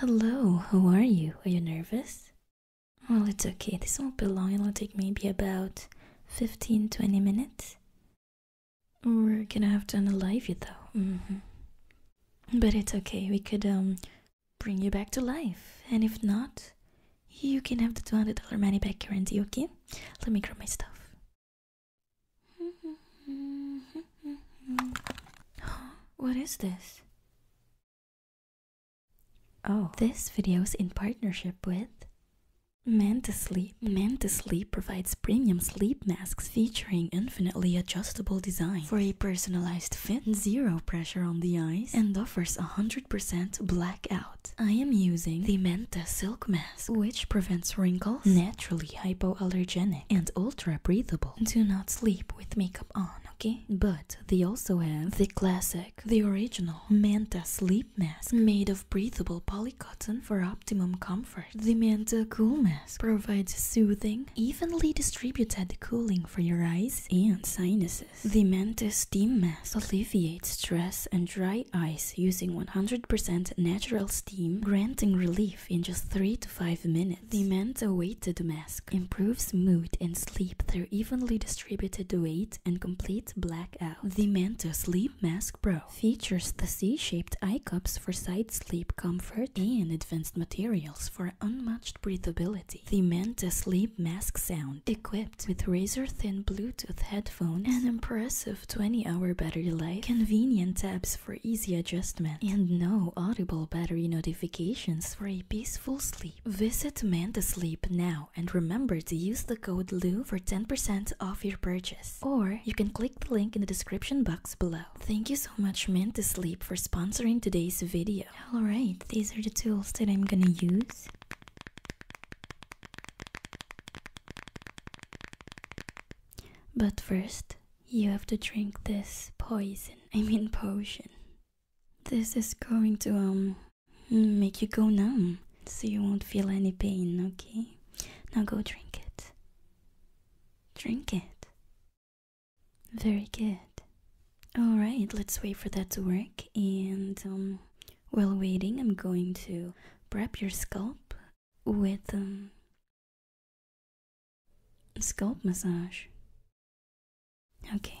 Hello, Who are you? Are you nervous? Well, it's okay, this won't be long, it'll take maybe about 15 20 minutes. We're gonna have to unalive you though. Mm-hmm. But it's okay, we could um bring you back to life. And if not, you can have the $200 money back guarantee, okay? Let me grab my stuff. Mm-hmm. Mm-hmm. what is this? Oh. This video is in partnership with Manta Sleep. Manta Sleep provides premium sleep masks featuring infinitely adjustable design for a personalized fit, zero pressure on the eyes, and offers 100% blackout. I am using the Manta Silk Mask, which prevents wrinkles, naturally hypoallergenic, and ultra breathable. Do not sleep with makeup on, okay? But they also have the classic, the original Manta sleep mask made of breathable polycotton for optimum comfort. The Manta Cool Mask provides soothing, evenly distributed cooling for your eyes and sinuses. The Manta Steam Mask alleviates stress and dry eyes using 100% natural steam, granting relief in just 3 to 5 minutes. The Manta Weighted Mask improves mood and sleep through evenly distributed weight and complete blackout. The Manta Sleep Mask Pro features the C-shaped eye cups for side sleep comfort and advanced materials for unmatched breathability. The Manta Sleep Mask Sound equipped with razor-thin Bluetooth headphones, and impressive 20-hour battery life, convenient tabs for easy adjustment and no audible battery notifications for a peaceful sleep. Visit Manta now and remember to use the code LOU for 10% off your purchase. Or you can click the link in the description box below. Thank you so much Manta for sponsoring today's video. Alright, these are the tools that I'm gonna use. But first, you have to drink this poison, I mean potion. This is going to, um, make you go numb, so you won't feel any pain, okay? Now go drink it. Drink it. Very good. Alright, let's wait for that to work, and, um, while waiting, I'm going to prep your scalp with, um, Scalp massage. Okay.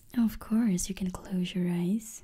Of course, you can close your eyes.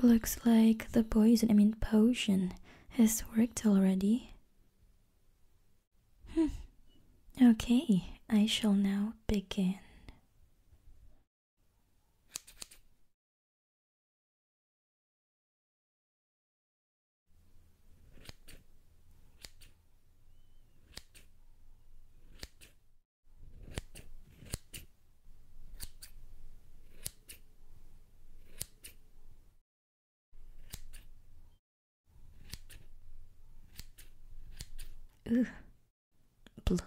Looks like the poison, I mean potion, has worked already. Hmm. Okay, I shall now begin. Ugh. Blood.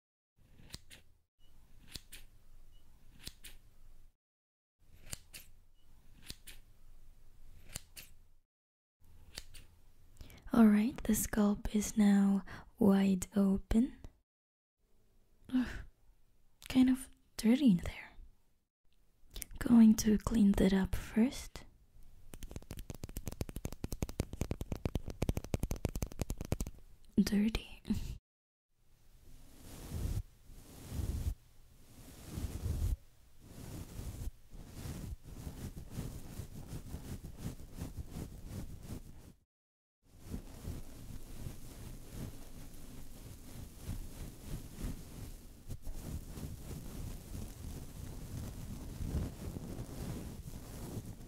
Alright, the scalp is now wide open. kind of dirty in there. Going to clean that up first dirty.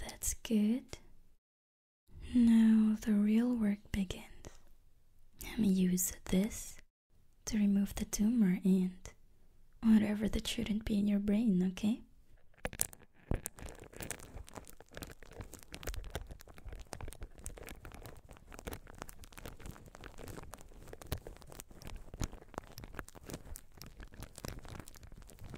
That's good. Now the real work begins. Let me use this to remove the tumor and whatever that shouldn't be in your brain, okay?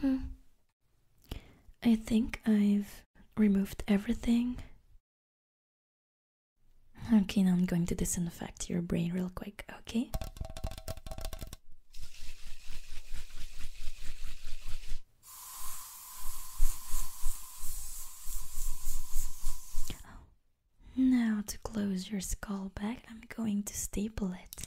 Hmm. I think I've removed everything. Okay, now I'm going to disinfect your brain real quick, okay? Oh. Now, to close your skull back, I'm going to staple it.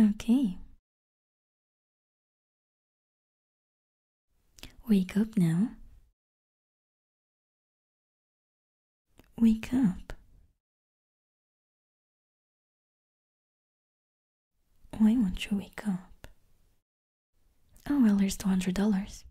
Okay. Wake up now. Wake up. Why won't you wake up? Oh, well, here's $200.